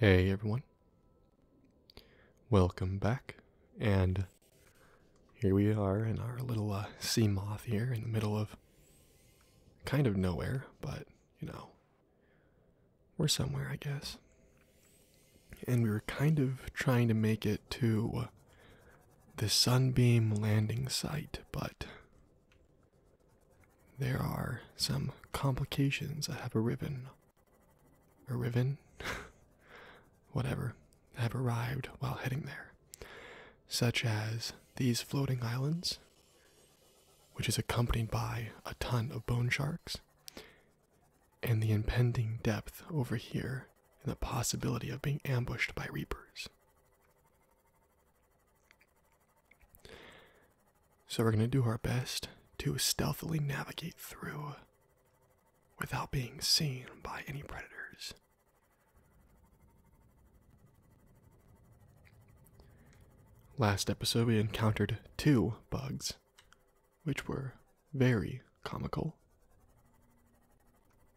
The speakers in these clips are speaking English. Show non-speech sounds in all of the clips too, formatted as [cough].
Hey everyone. Welcome back. And here we are in our little uh, sea moth here in the middle of kind of nowhere, but you know, we're somewhere, I guess. And we were kind of trying to make it to the Sunbeam landing site, but there are some complications. I have a ribbon. A ribbon? [laughs] Whatever. Have arrived while heading there, such as these floating islands, which is accompanied by a ton of bone sharks, and the impending depth over here, and the possibility of being ambushed by reapers. So we're going to do our best to stealthily navigate through without being seen by any predators. Last episode, we encountered two bugs, which were very comical.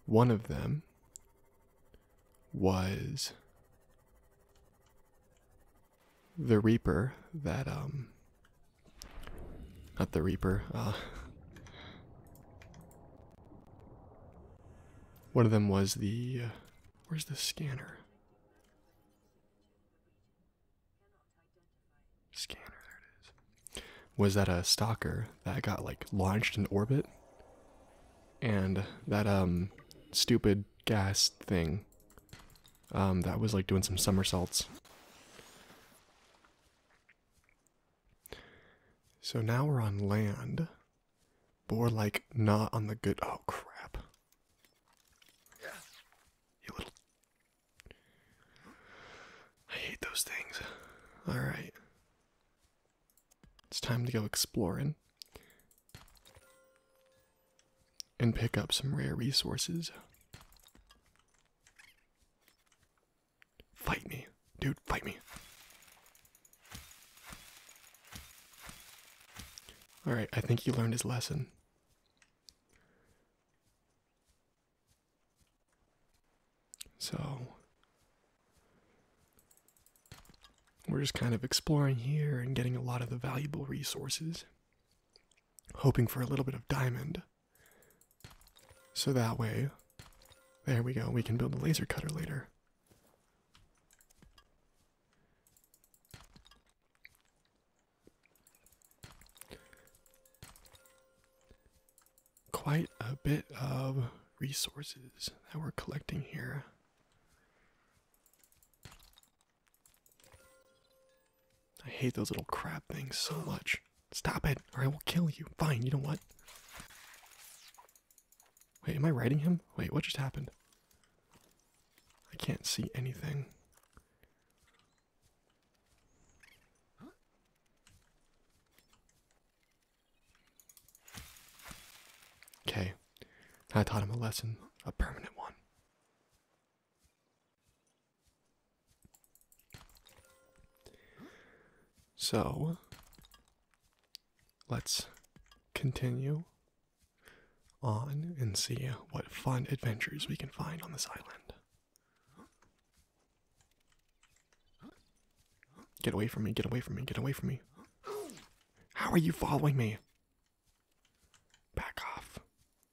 One of them was the Reaper that, um, not the Reaper, uh, one of them was the, uh, where's the scanner? Scanner, there it is. Was that a stalker that got like launched in orbit and that um stupid gas thing um that was like doing some somersaults so now we're on land but like not on the good oh crap you little i hate those things all right it's time to go exploring and pick up some rare resources. Fight me, dude, fight me. Alright, I think he learned his lesson. So, we're just kind of exploring here and getting a lot of the valuable resources, hoping for a little bit of diamond. So that way, there we go, we can build a laser cutter later. Quite a bit of resources that we're collecting here. I hate those little crab things so much. Stop it, or I will kill you. Fine, you know what? Wait, am I writing him? Wait, what just happened? I can't see anything. Okay, I taught him a lesson, a permanent one. So let's continue on and see what fun adventures we can find on this island. Get away from me, get away from me, get away from me. How are you following me? Back off,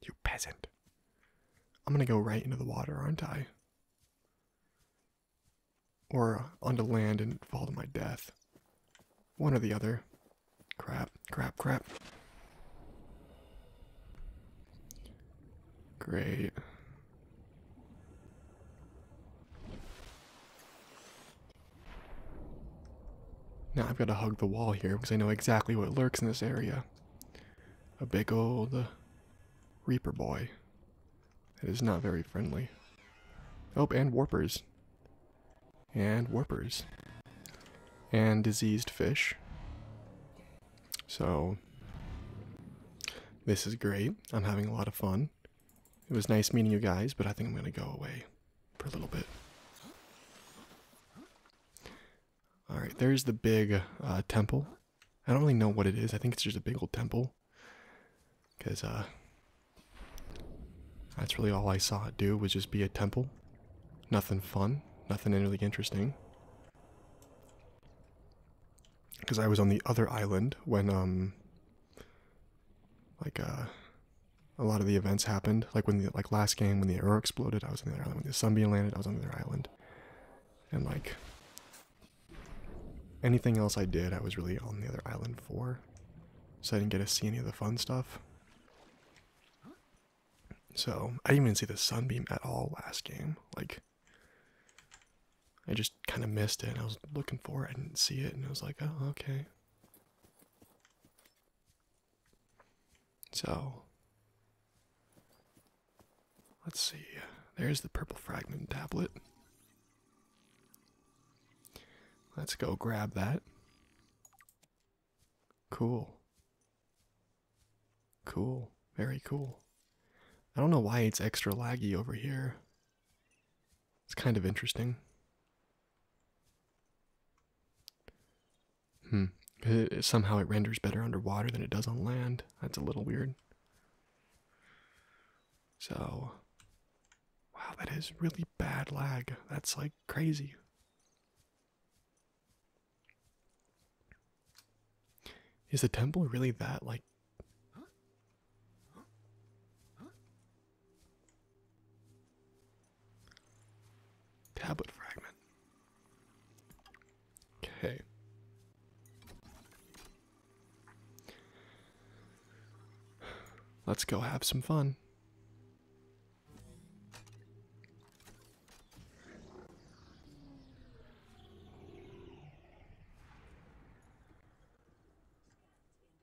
you peasant. I'm gonna go right into the water, aren't I? Or onto land and fall to my death. One or the other. Crap, crap, crap. Great. Now I've got to hug the wall here because I know exactly what lurks in this area. A big old uh, Reaper boy. that is not very friendly. Oh, and warpers. And warpers. And diseased fish. So, this is great. I'm having a lot of fun. It was nice meeting you guys, but I think I'm going to go away for a little bit. Alright, there's the big uh, temple. I don't really know what it is. I think it's just a big old temple. Because uh, that's really all I saw it do was just be a temple. Nothing fun. Nothing really interesting. Because I was on the other island when um, like uh, a lot of the events happened. Like when the like last game when the arrow exploded, I was on the other island. When the sunbeam landed, I was on the other island. And like anything else I did, I was really on the other island for. So I didn't get to see any of the fun stuff. So I didn't even see the sunbeam at all last game. Like I just kind of missed it. I was looking for it. I didn't see it, and I was like, "Oh, okay." So, let's see. There's the purple fragment tablet. Let's go grab that. Cool. Cool. Very cool. I don't know why it's extra laggy over here. It's kind of interesting. Hmm. somehow it renders better underwater than it does on land. That's a little weird. So, wow, that is really bad lag. That's like crazy. Is the temple really that like Tablet fragment. Okay. Let's go have some fun.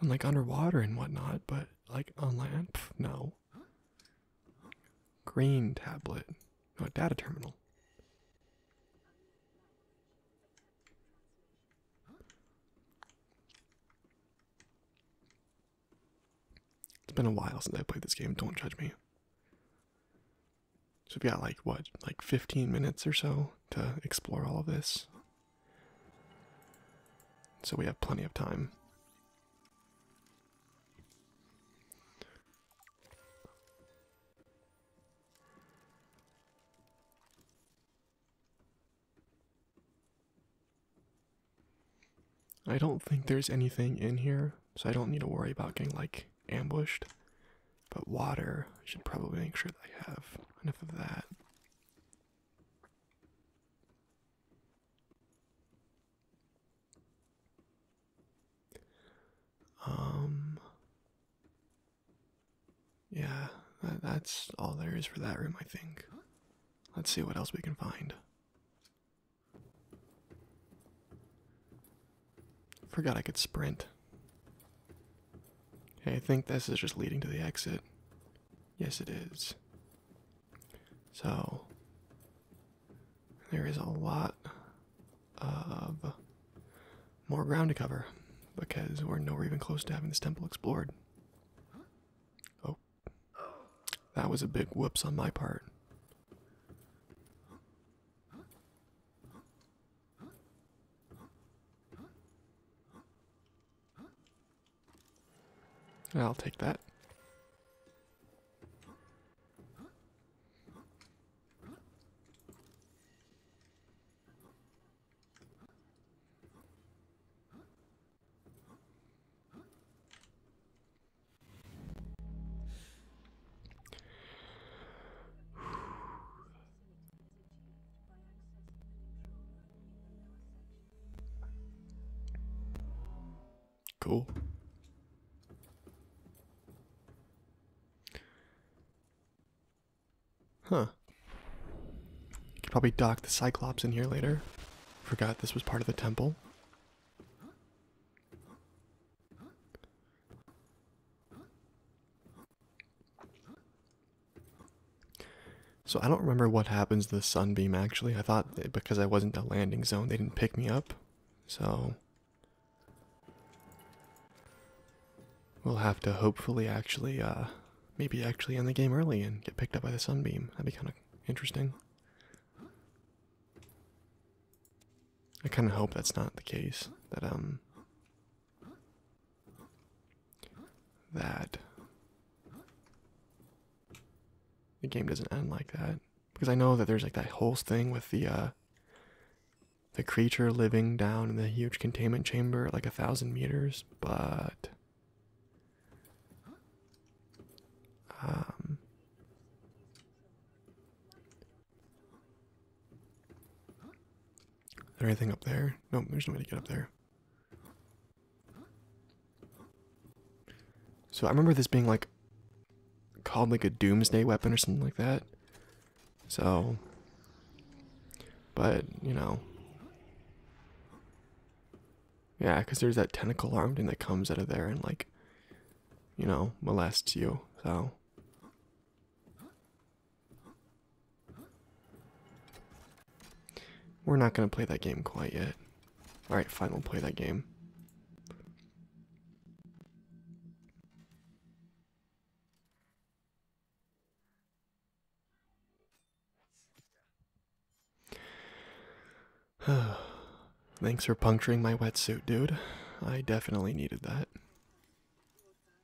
and like underwater and whatnot, but like on land, no. Green tablet, no data terminal. It's been a while since I played this game, don't judge me. So, we've got like what, like 15 minutes or so to explore all of this. So we have plenty of time. I don't think there's anything in here, so I don't need to worry about getting like ambushed. But water, should probably make sure that I have enough of that. Um, yeah, that's all there is for that room, I think. Let's see what else we can find. Forgot I could sprint. Okay, I think this is just leading to the exit. Yes, it is. So, there is a lot of more ground to cover because we're nowhere even close to having this temple explored. Oh, that was a big whoops on my part. I'll take that. Cool. Huh. Could probably dock the Cyclops in here later. Forgot this was part of the temple. So I don't remember what happens to the sunbeam actually. I thought because I wasn't a landing zone, they didn't pick me up. So we'll have to hopefully actually uh maybe actually end the game early and get picked up by the sunbeam. That'd be kind of interesting. I kind of hope that's not the case. That um that. The game doesn't end like that because I know that there's like that whole thing with the uh the creature living down in the huge containment chamber like a thousand meters, but um, is there anything up there? No, there's no way to get up there. So I remember this being like called like a doomsday weapon or something like that. So but, you know. Yeah, because there's that tentacle arm thing that comes out of there and like you know, molests you, so we're not going to play that game quite yet. Alright, fine, we'll play that game. [sighs] Thanks for puncturing my wetsuit, dude. I definitely needed that.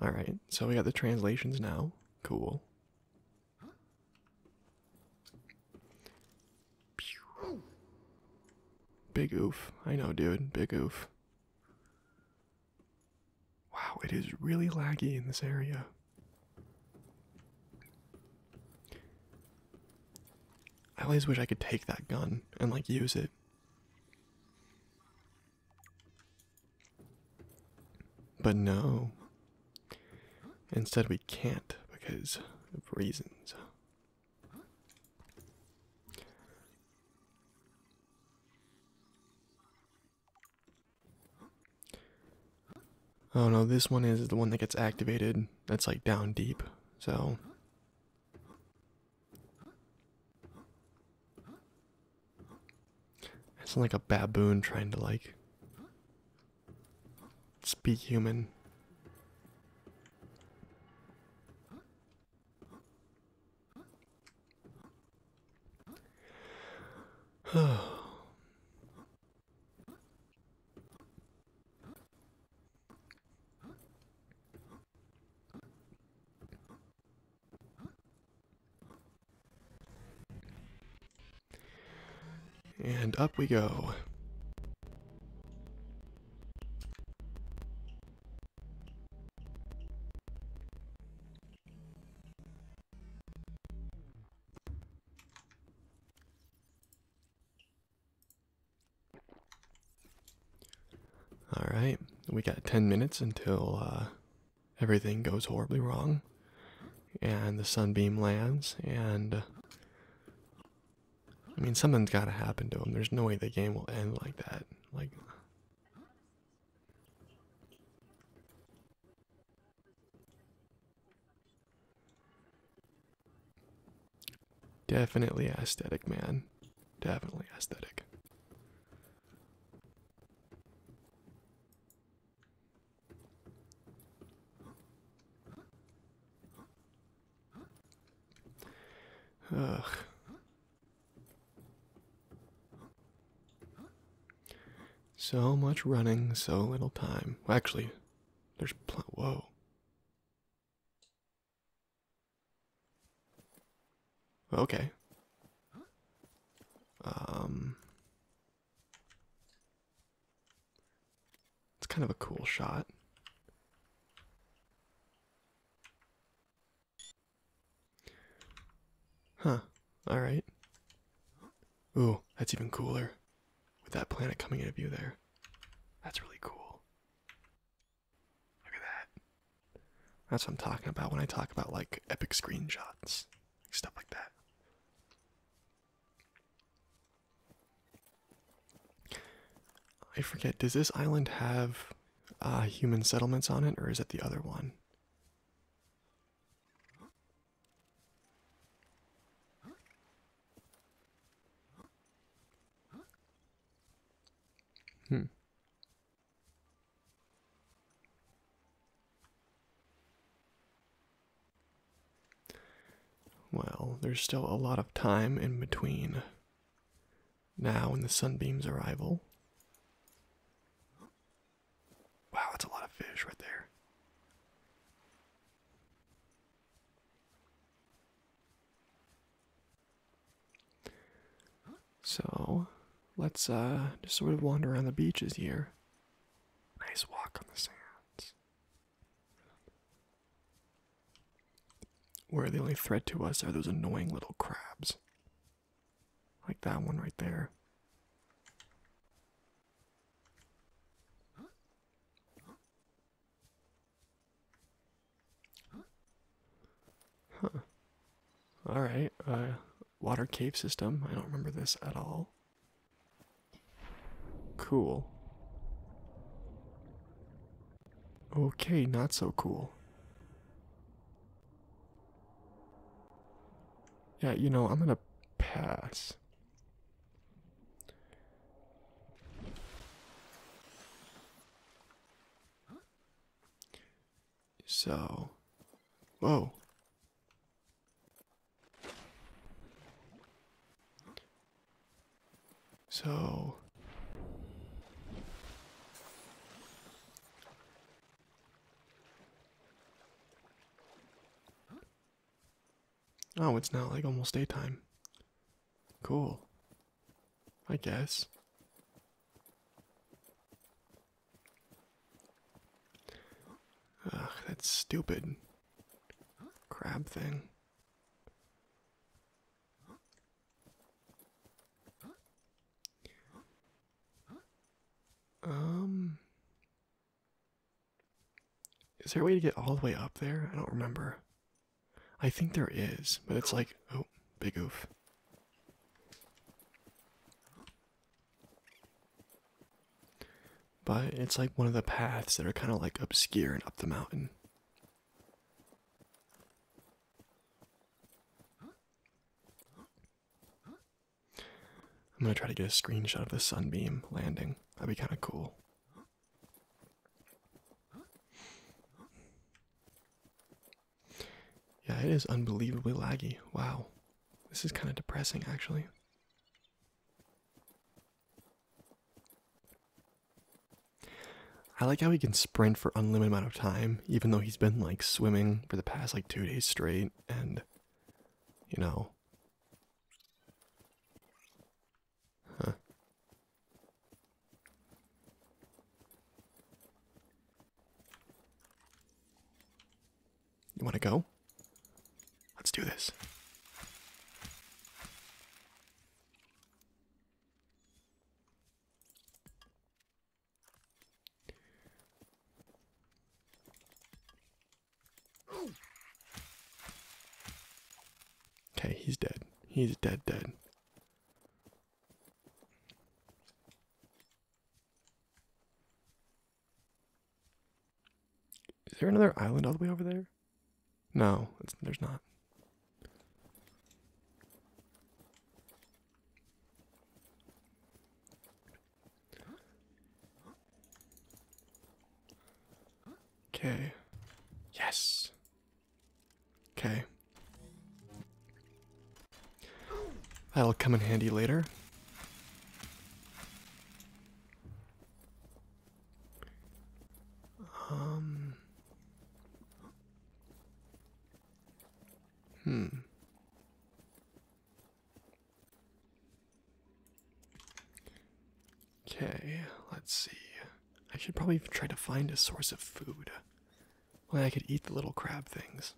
All right, so we got the translations now. Cool. Big oof. I know, dude. Big oof. Wow, it is really laggy in this area. I always wish I could take that gun and like use it but no. Instead, we can't because of reasons. Oh no, this one is the one that gets activated. That's like down deep. So I sound like a baboon trying to like speak human. And up we go. All right, we got 10 minutes until uh, everything goes horribly wrong and the sunbeam lands and uh, I mean something's got to happen to him. There's no way the game will end like that. Like Definitely aesthetic, man. Definitely aesthetic. Ugh. So much running, so little time. actually, there's pl- whoa. Okay. Um It's kind of a cool shot. Huh. All right. Ooh, that's even cooler. With that planet coming into view there. That's really cool. Look at that. That's what I'm talking about when I talk about like epic screenshots, stuff like that. I forget, does this island have uh, human settlements on it, or is it the other one? Hmm. Well, there's still a lot of time in between now and the sunbeam's arrival. Wow, that's a lot of fish right there. So let's uh, just sort of wander around the beaches here. Nice walk on the sands. Where the only threat to us are those annoying little crabs. Like that one right there. Huh. All right. Uh, water cave system. I don't remember this at all. Cool. Okay, not so cool. Yeah, you know, I'm gonna pass. So, whoa. So, oh, it's now like almost daytime. Cool. I guess. That's stupid crab thing. Um, is there a way to get all the way up there? I don't remember. I think there is, but it's like oh, big oof. But it's like one of the paths that are kind of like obscure and up the mountain. I'm gonna try to get a screenshot of the sunbeam landing. That'd be kind of cool. Yeah, it is unbelievably laggy. Wow. This is kind of depressing, actually. I like how he can sprint for unlimited amount of time, even though he's been like swimming for the past like two days straight, and you know, you want to go? Let's do this. Okay, he's dead. He's dead, dead. Is there another island all the way over there? No, there's not. Okay. Yes. Okay. That'll come in handy later. Um. Hmm. Okay, let's see. I should probably try to find a source of food. Maybe I could eat the little crab things.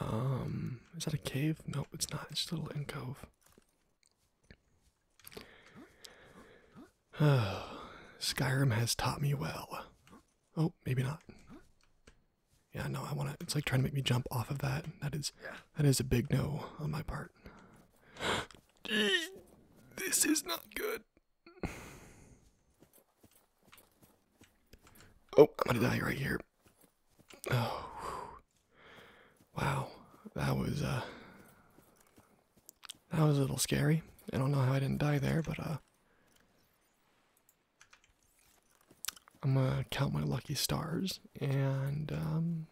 Um, is that a cave? Nope, it's not. It's just a little in cove. [sighs] Skyrim has taught me well. Oh, maybe not. Yeah, no, I want to. It's like trying to make me jump off of that. That is, that is a big no on my part. [gasps] this is not good. Oh, I'm gonna die right here. Oh, Wow, that was uh, that was a little scary. I don't know how I didn't die there, but uh, I'm gonna count my lucky stars and um,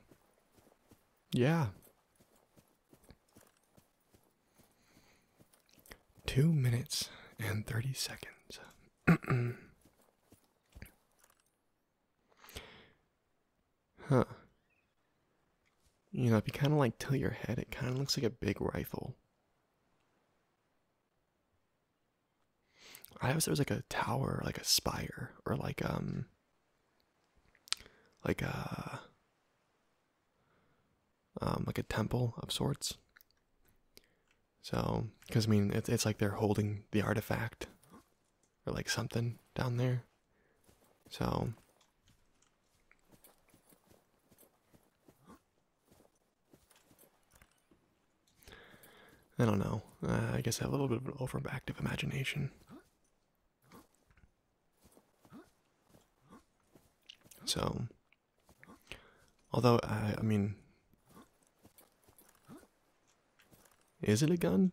yeah. Two minutes and thirty seconds. [clears throat] Huh. You know, if you kind of like tilt your head, it kind of looks like a big rifle. I always it was like a tower, like a spire, or like um, like a uh, um, like a temple of sorts. So, because I mean, it, it's like they're holding the artifact or like something down there. So I don't know. Uh, I guess I have a little bit of an overactive imagination. So, although I, I mean, is it a gun?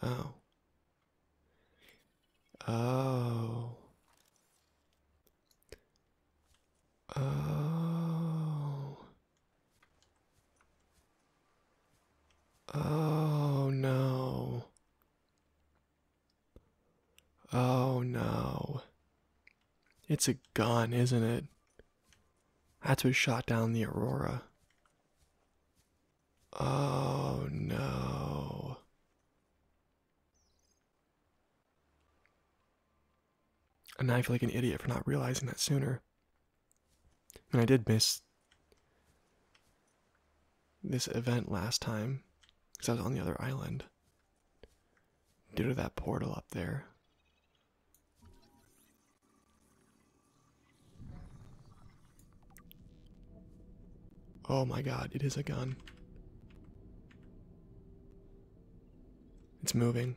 Oh. Oh. Oh. Oh no. Oh no. It's a gun, isn't it? That's what shot down the Aurora. Oh no. And I feel like an idiot for not realizing that sooner. And I did miss this event last time because I was on the other island due to that portal up there. Oh my god, it is a gun. It's moving.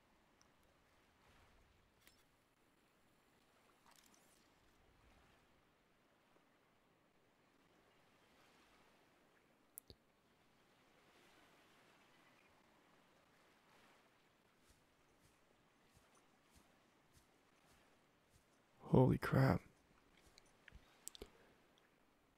Holy crap.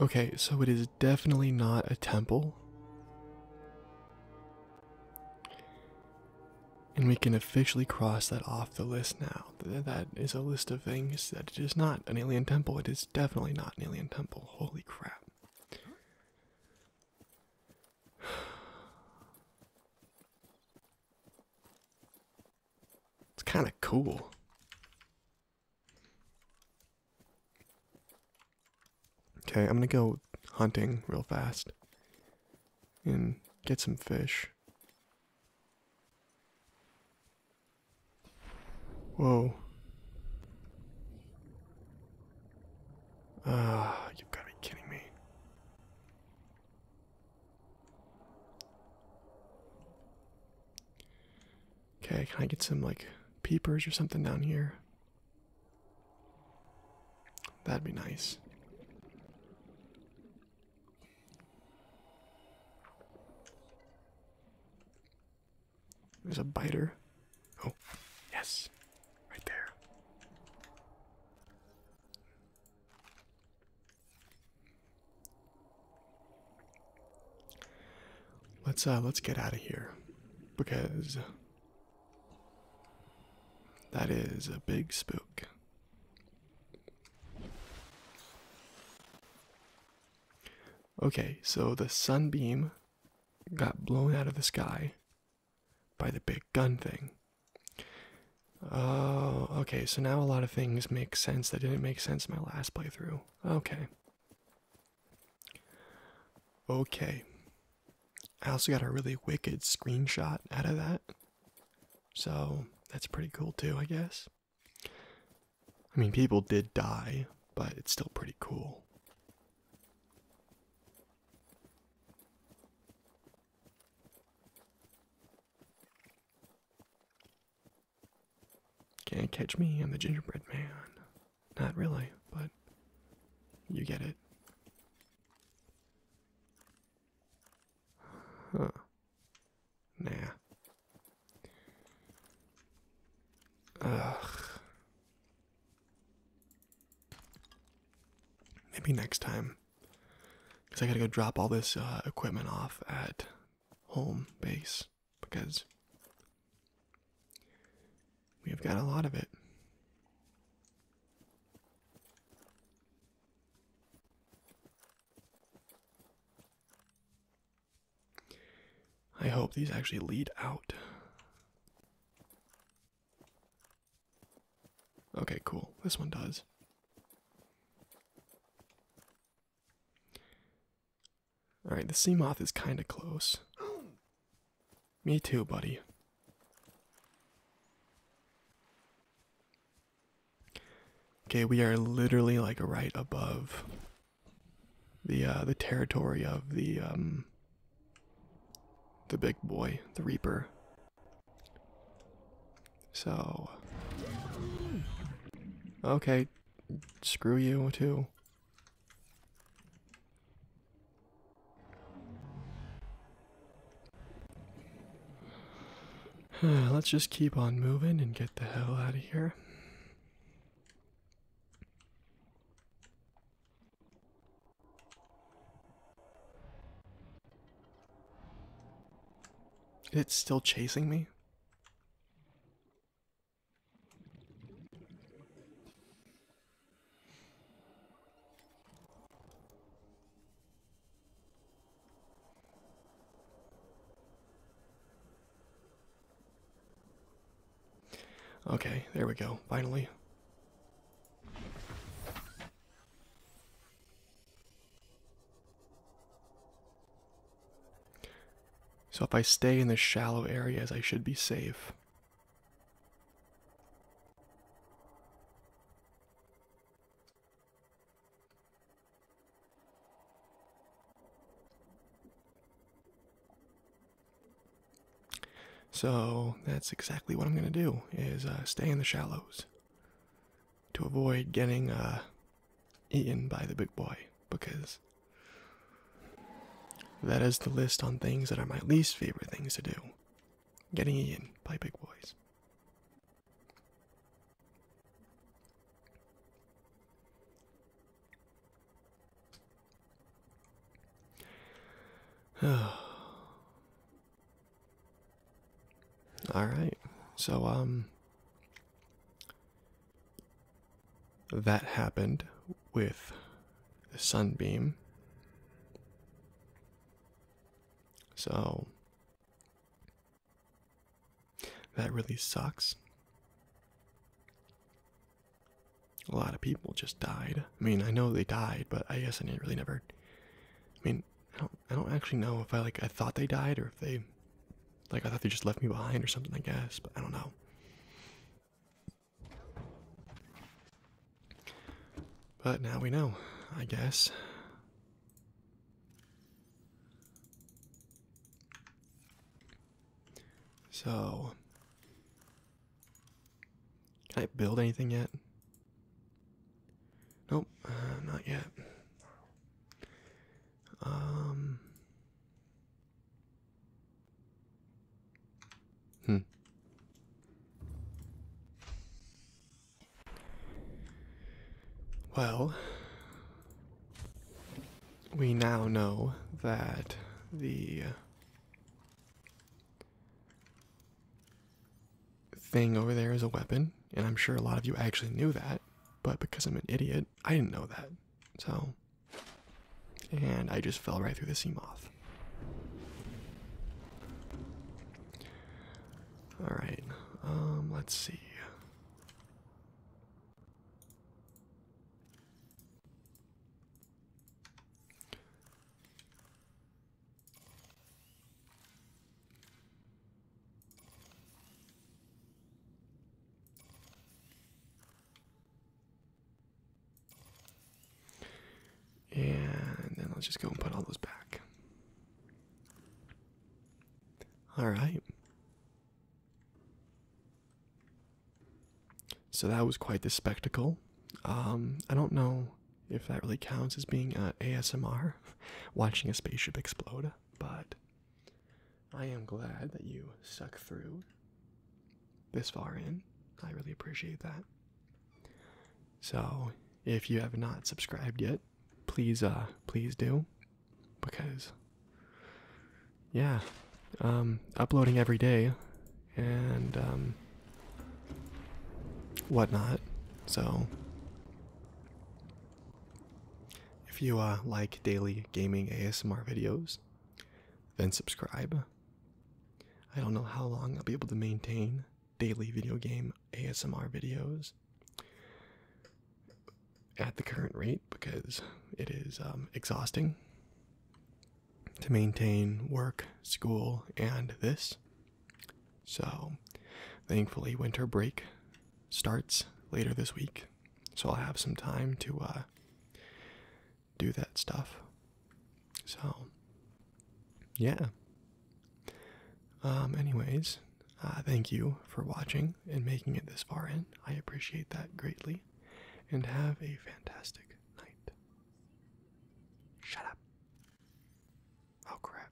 Okay, so it is definitely not a temple. And we can officially cross that off the list now. That is a list of things that it is not an alien temple. It is definitely not an alien temple. Holy crap. It's kind of cool. Okay, I'm gonna go hunting real fast and get some fish. Whoa. Ah, you got to be kidding me. Okay, can I get some like peepers or something down here? That'd be nice. There's a biter. Oh, yes, right there. Let's uh let's get out of here because that is a big spook. Okay, so the sunbeam got blown out of the sky by the big gun thing. Oh, okay, so now a lot of things make sense that didn't make sense in my last playthrough. Okay. Okay. I also got a really wicked screenshot out of that. So that's pretty cool too, I guess. I mean, people did die, but it's still pretty cool. Can't catch me, I'm the gingerbread man. Not really, but you get it. Huh. Nah. Ugh. Maybe next time. Because I gotta go drop all this uh, equipment off at home base because we have got a lot of it. I hope these actually lead out. Okay, cool. This one does. Alright, the sea moth is kind of close. Me too, buddy. Okay, we are literally like right above the uh, the territory of the um the big boy, the reaper. So. Okay. Screw you, too. [sighs] Let's just keep on moving and get the hell out of here. It's still chasing me. Okay, there we go, finally. So if I stay in the shallow areas, I should be safe. So that's exactly what I'm going to do is uh, stay in the shallows to avoid getting uh, eaten by the big boy because that is the list on things that are my least favorite things to do getting eaten by big boys. [sighs] [sighs] All right. So um that happened with the sunbeam. So that really sucks. A lot of people just died. I mean, I know they died, but I guess I didn't really never. I mean, I don't I don't actually know if I like I thought they died or if they like I thought they just left me behind or something I guess, but I don't know. But now we know, I guess. So, can I build anything yet? Nope, uh, not yet. Um, hmm. Well, we now know that the thing over there is a weapon, and I'm sure a lot of you actually knew that, but because I'm an idiot, I didn't know that. So, and I just fell right through the sea moth. All right, um, let's see. And then I'll just go and put all those back. All right. So that was quite the spectacle. Um, I don't know if that really counts as being uh, ASMR, [laughs] watching a spaceship explode but I am glad that you stuck through this far in. I really appreciate that. So, if you have not subscribed yet, please uh please do because yeah, um uploading every day and um whatnot. So if you uh, like daily gaming ASMR videos, then subscribe. I don't know how long I'll be able to maintain daily video game ASMR videos at the current rate because it is um, exhausting to maintain work, school, and this. So, thankfully, winter break starts later this week, so I'll have some time to uh, do that stuff. So, yeah. Um, anyways, uh, thank you for watching and making it this far in. I appreciate that greatly. And have a fantastic night. Shut up. Oh, crap.